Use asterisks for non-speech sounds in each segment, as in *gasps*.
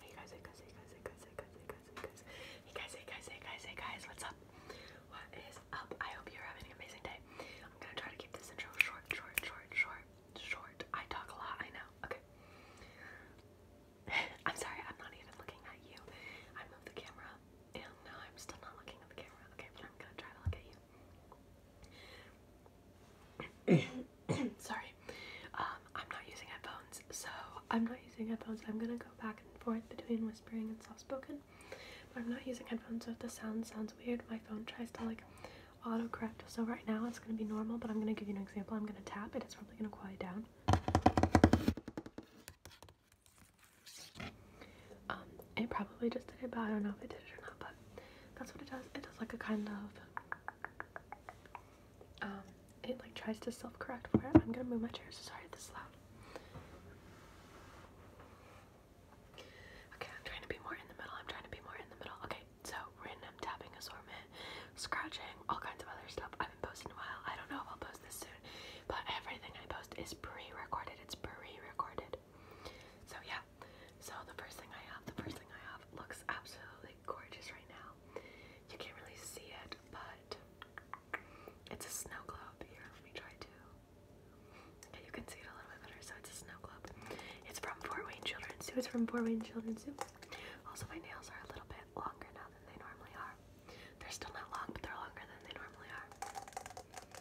Hey guys, hey guys, hey guys, hey guys, hey guys, hey guys, hey guys, hey guys, hey guys, hey guys, what's up? What is up? I hope you're having an amazing day. I'm gonna try to keep this intro short, short, short, short, short. I talk a lot, I know. Okay. *laughs* I'm sorry, I'm not even looking at you. I moved the camera, and now I'm still not looking at the camera. Okay, but I'm gonna try to look at you. *coughs* Sorry, um, I'm not using headphones, so I'm not using headphones. I'm gonna go back and forth between whispering and soft spoken, but I'm not using headphones, so if the sound sounds weird, my phone tries to like autocorrect. So right now it's gonna be normal, but I'm gonna give you an example. I'm gonna tap it, it's probably gonna quiet down. Um, it probably just did it, but I don't know if it did it or not, but that's what it does. It does like a kind of um it like tries to self-correct for it. I'm gonna move my chair, so sorry this loud. Okay, I'm trying to be more in the middle. I'm trying to be more in the middle. Okay, so random tapping assortment, scratching, all kinds of other stuff. I have been posting a while. I don't know if I'll post this soon, but everything I post is pre-recorded. It's pre-recorded. So yeah, so the first thing I have, the first thing I have looks absolutely gorgeous right now. You can't really see it, but it's a snow globe. Here, let me try to. Okay, you can see it a little bit better. So it's a snow globe. It's from Fort Wayne Children's Zoo. It's from Fort Wayne Children's Zoo. Also, my nails are a little bit longer now than they normally are. They're still not long, but they're longer than they normally are.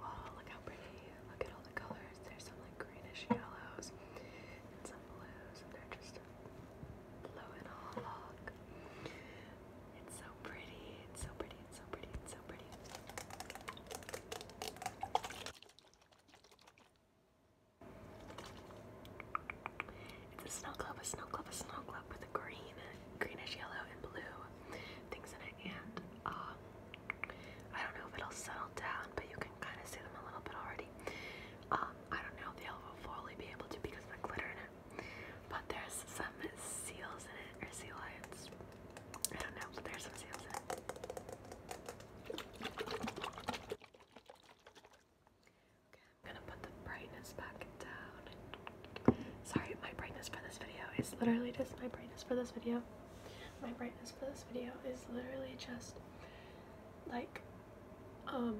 Wow, oh, look how pretty. Look at all the colors. There's some like greenish yellows and some blues, and they're just blowing all along. It's so pretty. It's so pretty. It's so pretty. It's so pretty. It's a snow globe, a snow globe, a snow globe with a green, greenish yellow and blue things in it, and um, I don't know if it'll settle down, but you can kind of see them a little bit already. Um, I don't know if they'll fully be able to because of the glitter in it. But there's some seals in it, or sea lions. I don't know, but there's some seals in it. Okay, I'm gonna put the brightness back down. Sorry, my brightness for this video is literally just my brightness for this video my brightness for this video is literally just like um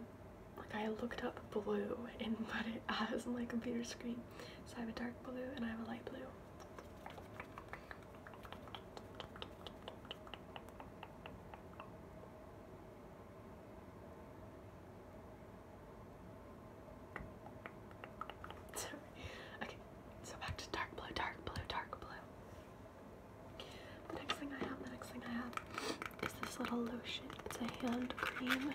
like I looked up blue and *laughs* what it has on my computer screen. So I have a dark blue and I have a light blue. *laughs* Sorry. Okay, so back to dark blue, dark blue, dark blue. The next thing I have, the next thing I have is this little lotion. It's a hand cream.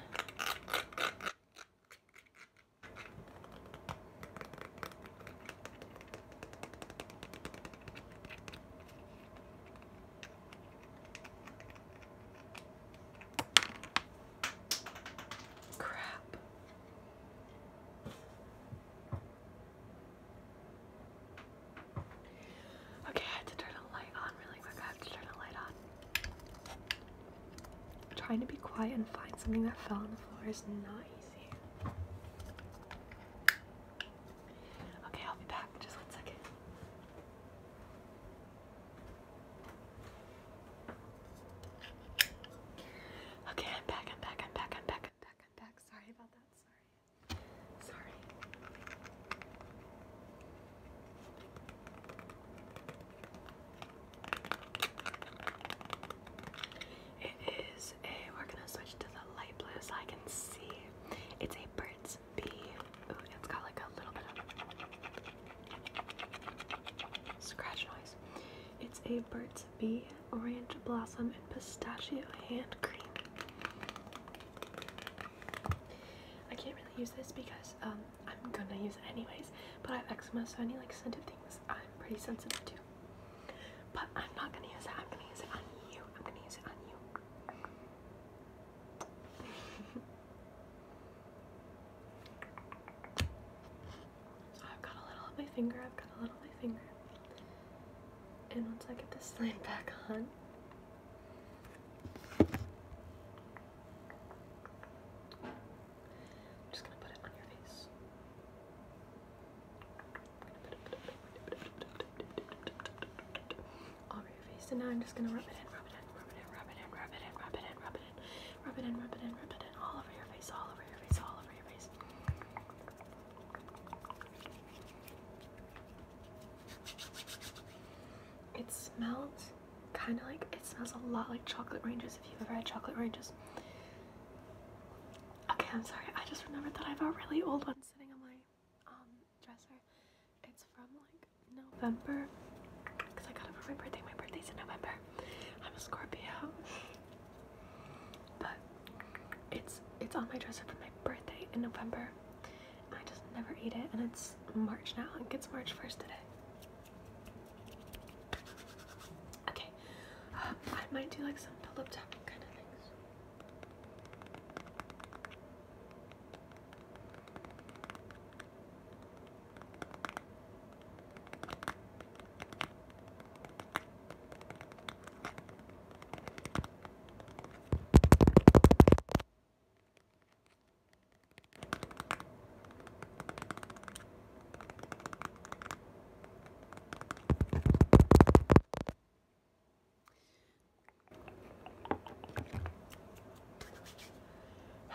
Crap. Okay, I had to turn a light on really quick. I have to turn a light on. Trying to be quiet and find something that fell on the floor is not easy. Okay, I'll be back. Just one second. Okay, I'm back, I'm back, I'm back, I'm back, I'm back, I'm back. Sorry about that, sorry. Sorry. It is a, we're gonna switch to the light blue so I can see. It's a bird's bee. Ooh, it's got like a little bit of Scratch noise. It's a Burt's Bee Orange Blossom and Pistachio Hand Cream. I can't really use this because um, I'm gonna use it anyways, but I have eczema, so any like scented things I'm pretty sensitive to. But I'm not gonna use it. I'm gonna use it on you. I'm gonna use it on you. *laughs* I've got a little on my finger, I've got a little on my finger. And once I get this line back on, I'm just gonna put it on your face. Over your face, and now I'm just gonna rub it in, rub it in, rub it in, rub it in, rub it in, rub it in, rub rub it in, rub it in, rub it in, rub it in, all over your face, all over your face, all over your face. It smells kind of like it smells a lot like chocolate ranges if you've ever had chocolate ranges. Okay, I'm sorry. I just remembered that I have a really old one sitting on my um, dresser. It's from like November because I got it for my birthday. My birthday's in November. I'm a Scorpio. But it's it's on my dresser for my birthday in November. I just never eat it and it's March now. It gets March 1st today. Okay. I might do like some pull-up tapping kind of things.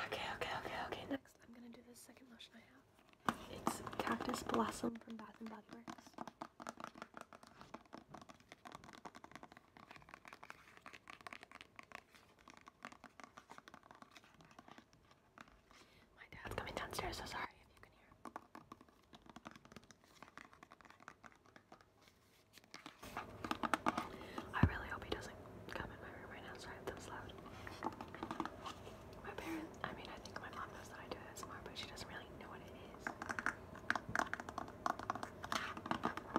Okay, okay, okay, okay. Next, I'm gonna do the second lotion I have. It's Cactus Blossom from Bath and Body Works. My dad's coming downstairs, so sorry if you can hear. I really hope he doesn't come in my room right now. Sorry if that loud. My parents, I mean, I think my mom knows that I do ASMR, but she doesn't really know what it is. I really like the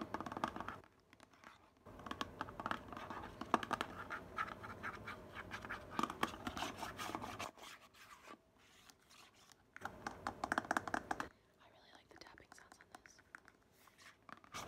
tapping sounds on this.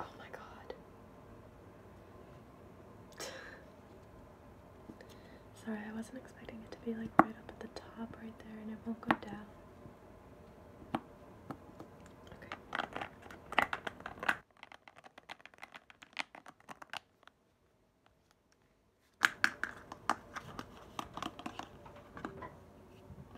Oh my god. *laughs* Sorry, I wasn't expecting it to be like right up at the top right there and it won't go down. Okay.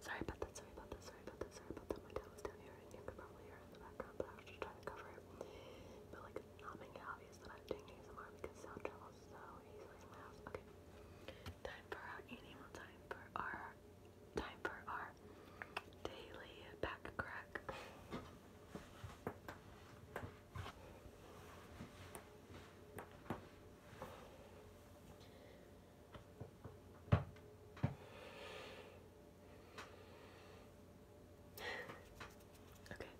Sorry about that, sorry about that, sorry about that, sorry about that. My dad was down here and you could probably hear in the background, but I was just trying to cover it. But like not make it obvious that I'm doing ASMR because sound travels so easily in my house. Okay. Time for our animal time for our time for our daily back crack okay,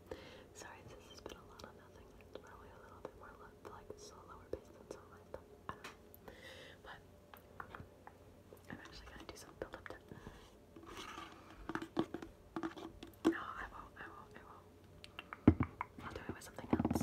sorry, this has been a lot of nothing. probably a little bit more like so lower than some of my stuff. But I'm actually gonna do some build No, I will I will I will I'll do it with something else.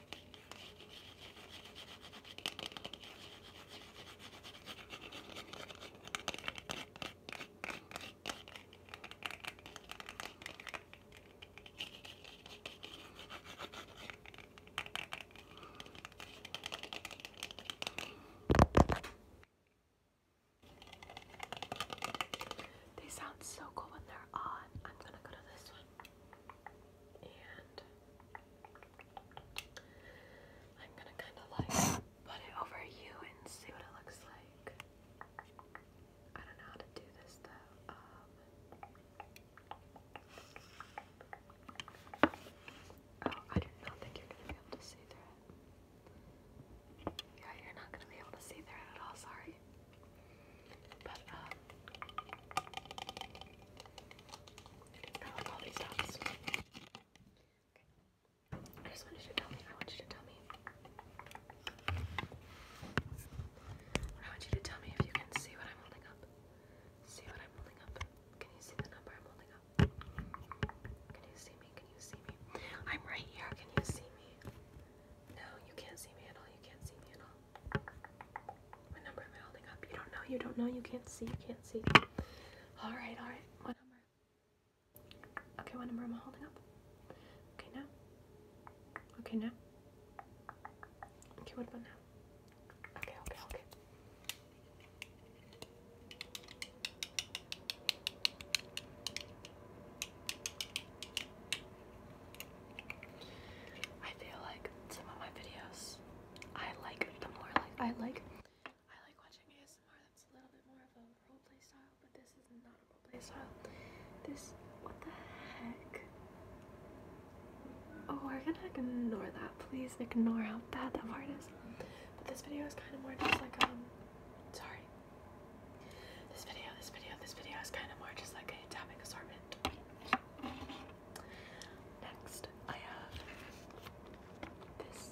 They sound so cool when they're on. I'm gonna go to this one. I'm gonna kind of like put it over you and see what it looks like. I don't know how to do this though. Um. oh, I do not think you're gonna be able to see through it. Yeah, you're not gonna be able to see through it at all. Sorry. Uh, I just wanted you to tell me, I want you to tell me. I want you to tell me if you can see what I'm holding up. See what I'm holding up. Can you see the number I'm holding up? Can you see me? Can you see me? I'm right here. Can you see me? No, you can't see me at all. You can't see me at all. What number am I holding up? You don't know, you don't know, you can't see, you can't see. Alright, alright. What number? Okay, what number am I holding up? Okay, now. Okay, now. Okay, what about now? Okay, okay, okay. I feel like some of my videos, I like the more like I like I like watching ASMR that's a little bit more of a roleplay style, but this is not a roleplay style. This what the heck? Oh, we're gonna ignore that. Please ignore how bad that part is. But this video is kind of more just like um sorry. This video, this video, this video is kind of more just like a topic assortment it. Next, I have this.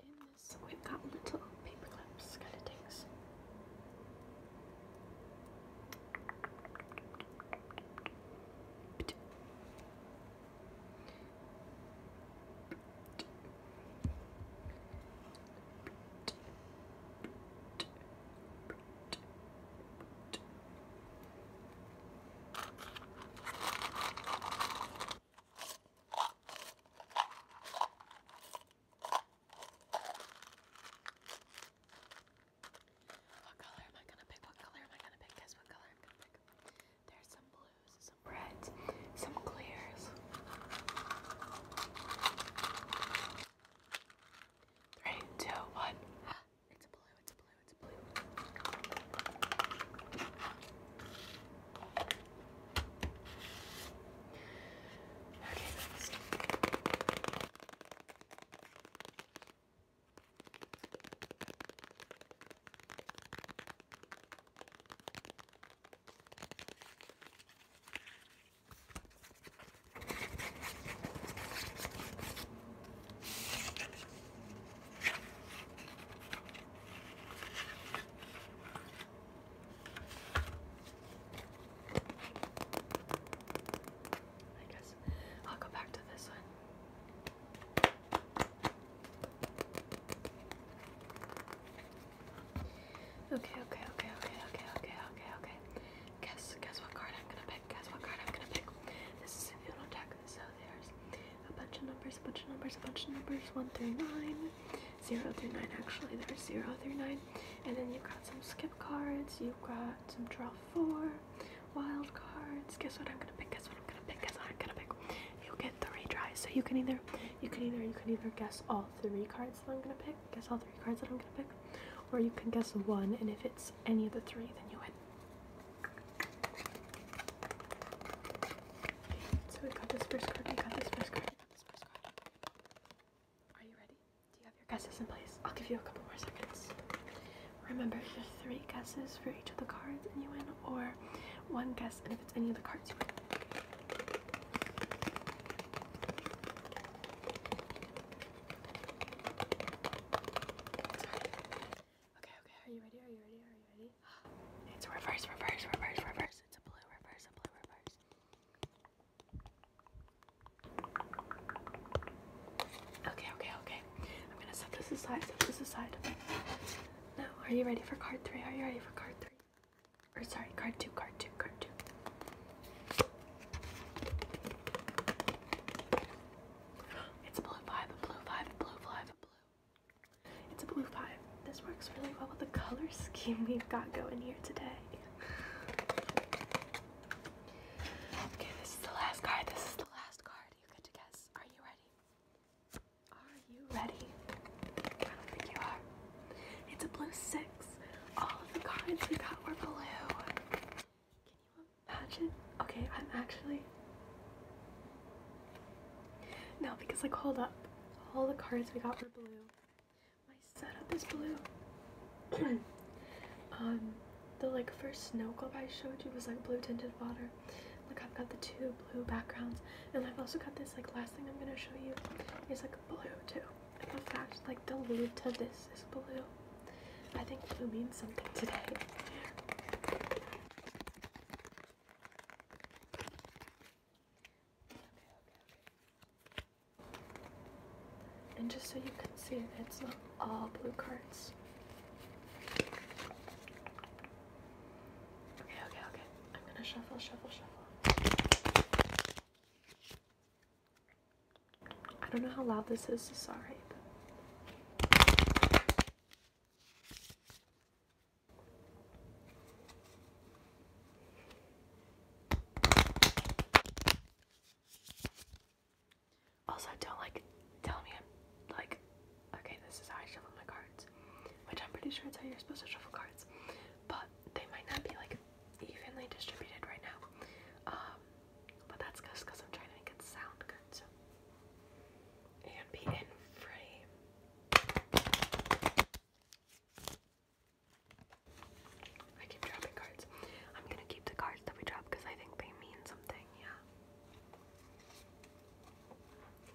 In this, we've got little paperclips, kind of things. What color am I gonna pick? What color am I gonna pick? Guess what color I'm gonna pick? There's some blues, some reds, some clears. Three, two, one. *gasps* It's a blue, it's a blue, it's a blue. Okay, next. I guess I'll go back to this one. Okay, okay, okay, okay, okay, okay, okay, okay. Guess, guess what card I'm gonna pick. Guess what card I'm gonna pick. This is a funeral deck, so there's a bunch of numbers, a bunch of numbers, a bunch of numbers, one through nine, zero through nine. Actually, there's zero through nine, and then you've got some skip cards. You've got some draw four, wild cards. Guess what I'm gonna pick. Guess what I'm gonna pick. Guess what I'm gonna pick. You get three tries, so you can either, you can either, you can either guess all three cards that I'm gonna pick, guess all three cards that I'm gonna pick, or you can guess one, and if it's any of the three, then you win. So we got this first card, we got this first card, we got this first card. Are you ready? Do you have your guesses in place? I'll give you a couple more seconds. Remember, your three guesses for each of the cards, and you win, or one guess, and if it's any of the cards, you win. Okay, okay, are you ready? Are you ready? Are you ready? *gasps* It's a reverse, reverse, reverse, reverse. It's a blue reverse, a blue reverse. Okay, okay, okay. I'm gonna set this aside, set this aside. Now, are you ready for card three? Are you ready for card three? Or sorry, card two, card two, card two. It's a blue five, a blue five, a blue five, a blue. It's a blue five. This works really well with the color scheme we've got going here today. Okay, this is the last card. This is the last card. You get to guess. Are you ready? Are you ready? I think you are. It's a blue six. All of the cards we got were blue. Can you imagine? Okay, I'm actually. No, because I called up. All the cards we got were blue. My setup is blue. *clears throat* um the like first snow globe I showed you was like blue tinted water. Like I've got the two blue backgrounds and I've also got this like last thing I'm gonna show you is like blue too in fact, like the lead to this is blue. I think blue means something today. And just so you can see, it's not all blue cards. Okay, okay, okay. I'm gonna shuffle, shuffle, shuffle. I don't know how loud this is, sorry. But... Also, don't like tell me I'm like, okay, this is how I shuffle my cards, which I'm pretty sure it's how you're supposed to shuffle cards, but they might not be like evenly distributed right now. Um, but that's just because I'm trying to make it sound good. So. And be in frame. I keep dropping cards. I'm gonna keep the cards that we drop because I think they mean something, yeah.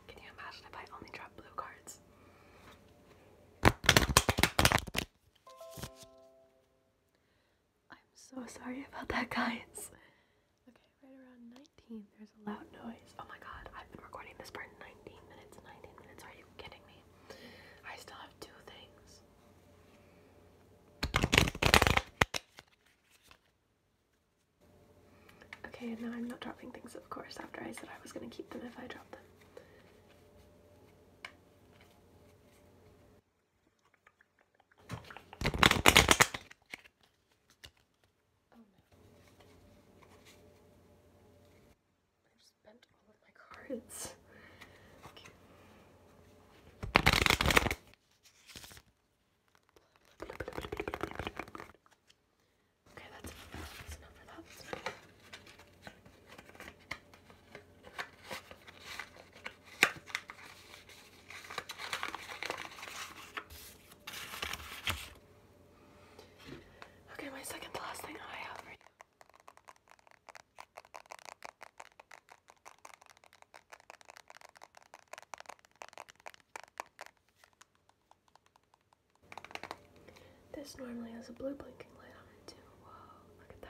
Can you imagine if I only drop blue cards? I'm so sorry about that, guys. Okay, right around 19, there's a loud noise. Oh my god, I've been recording this for 19 minutes. 19 minutes, are you kidding me? I still have two things. Okay, and now I'm not dropping things, of course, after I said I was gonna keep them if I drop them. Oh, I've spent all of my cards. *laughs* okay that's enough. That's enough for that. Okay, my second last thing I have for you. This normally has a blue blinking light on it too. Whoa, look at that.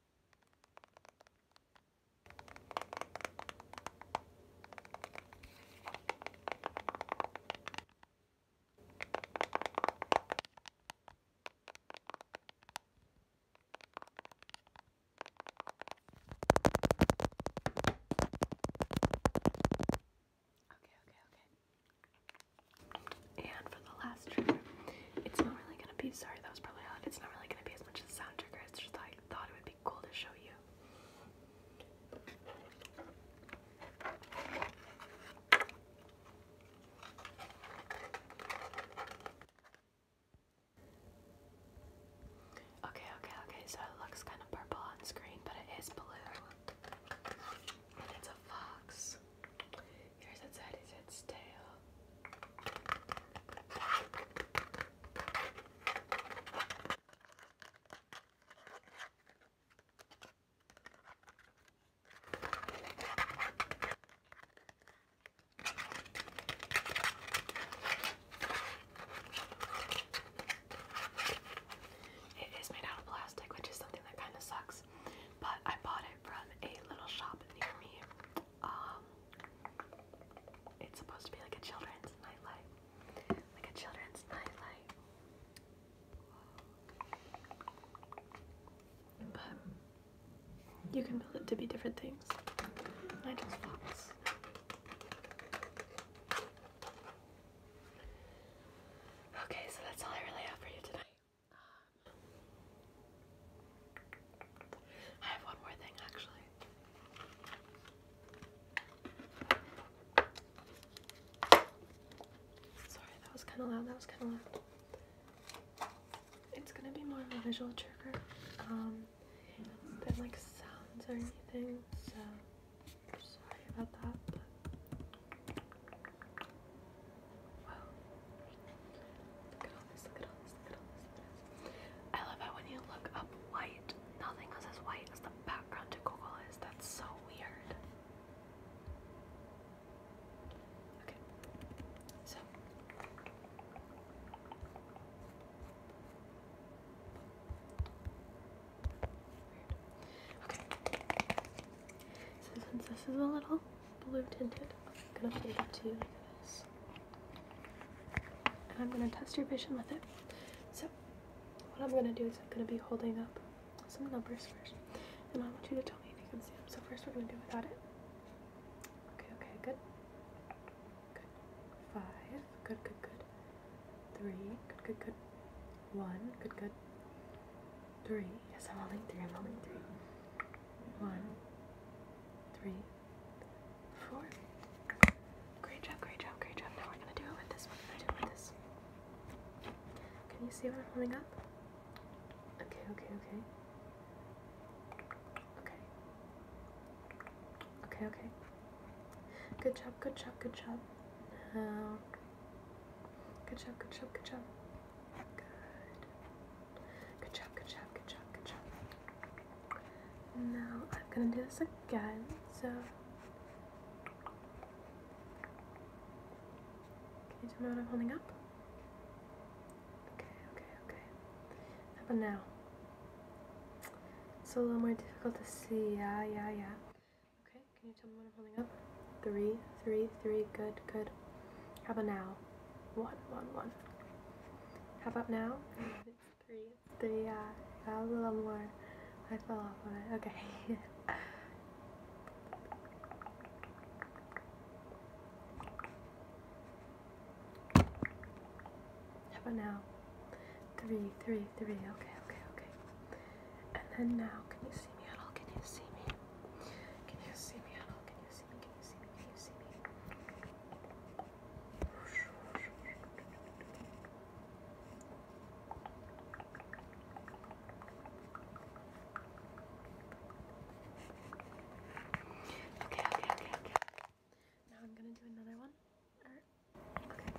Okay, okay, okay. And for the last it's not really gonna be, sorry, that was probably loud. It's not really gonna be as much as a sound trigger. It's just I thought it would be cool to show you. Okay, okay, okay, so it looks kind of purple on screen, but it is blue. it's a fox. Here's its head, here's its tail. It is made out of plastic, which is something that kind of sucks. But I bought it from a little shop near me um it's supposed to be like a children's nightlight. Like a children's nightlight. But you can build it to be different things. Okay, so that's all I really have for you tonight. I have one more thing actually. Sorry, that was kind of loud. That was kind of loud. It's gonna be more of a visual trigger um, than like sounds or anything, so sorry about that. I love how when you look up white, nothing is as white as the background to Google is. That's so weird. So Weird. Okay. So since this is a little blue tinted. I'm gonna plate it to you like this. And I'm gonna test your vision with it. So what I'm gonna do is I'm gonna be holding up some numbers first. And I want you to tell me if you can see them. So first we're gonna do without it. Okay, okay, good. Good. Five, good, good, good. Three, good, good, good. One, good, good. Three. Yes, I'm only three, I'm only three. One, three, four. Great job, great job, great job. Now we're gonna do it with this. We're do it with this. Can you see what I'm holding up? Okay, okay, okay. Okay. Okay, okay. Good job, good job, good job. Now. Good job, good job, good job. Good. Good job, good job, good job, good job. Now I'm gonna do this again, so. Can you tell me what I'm holding up? Okay, okay, okay. How about now? It's a little more difficult to see. Yeah, yeah, yeah. Okay, can you tell me what I'm holding up? Three, three, three. Good, good. How about now? one, one, one. How about now? it's three. three, yeah. Uh, a little more. I fell off on it. Okay. *laughs* How about now? Three, three, three. Okay, okay, okay. And then now, can you see me at Can you see me? Can you see me at Can you see me? Can you see me? Okay, okay, okay, okay. Now I'm gonna do another one. Or, er, okay.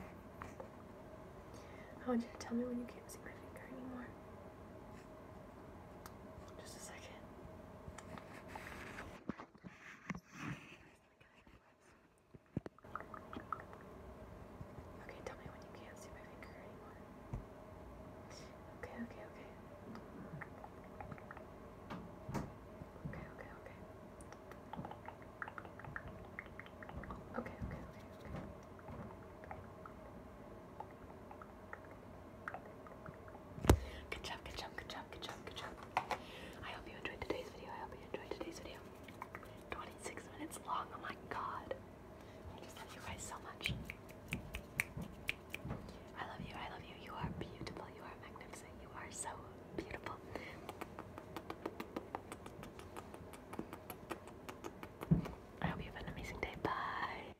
I want you to tell me when you can't see my finger anymore. Just a second. Okay, tell me when you can't see my finger anymore. Okay, okay, okay. Okay, okay, okay. Okay, okay, okay, Good job, good job, good job, good job, good job. I hope you enjoyed today's video. I hope you enjoyed today's video. 26 minutes long, oh my god. I love you guys so much. I love you, I love you. You are beautiful, you are magnificent, you are so beautiful. I hope you have an amazing day. Bye.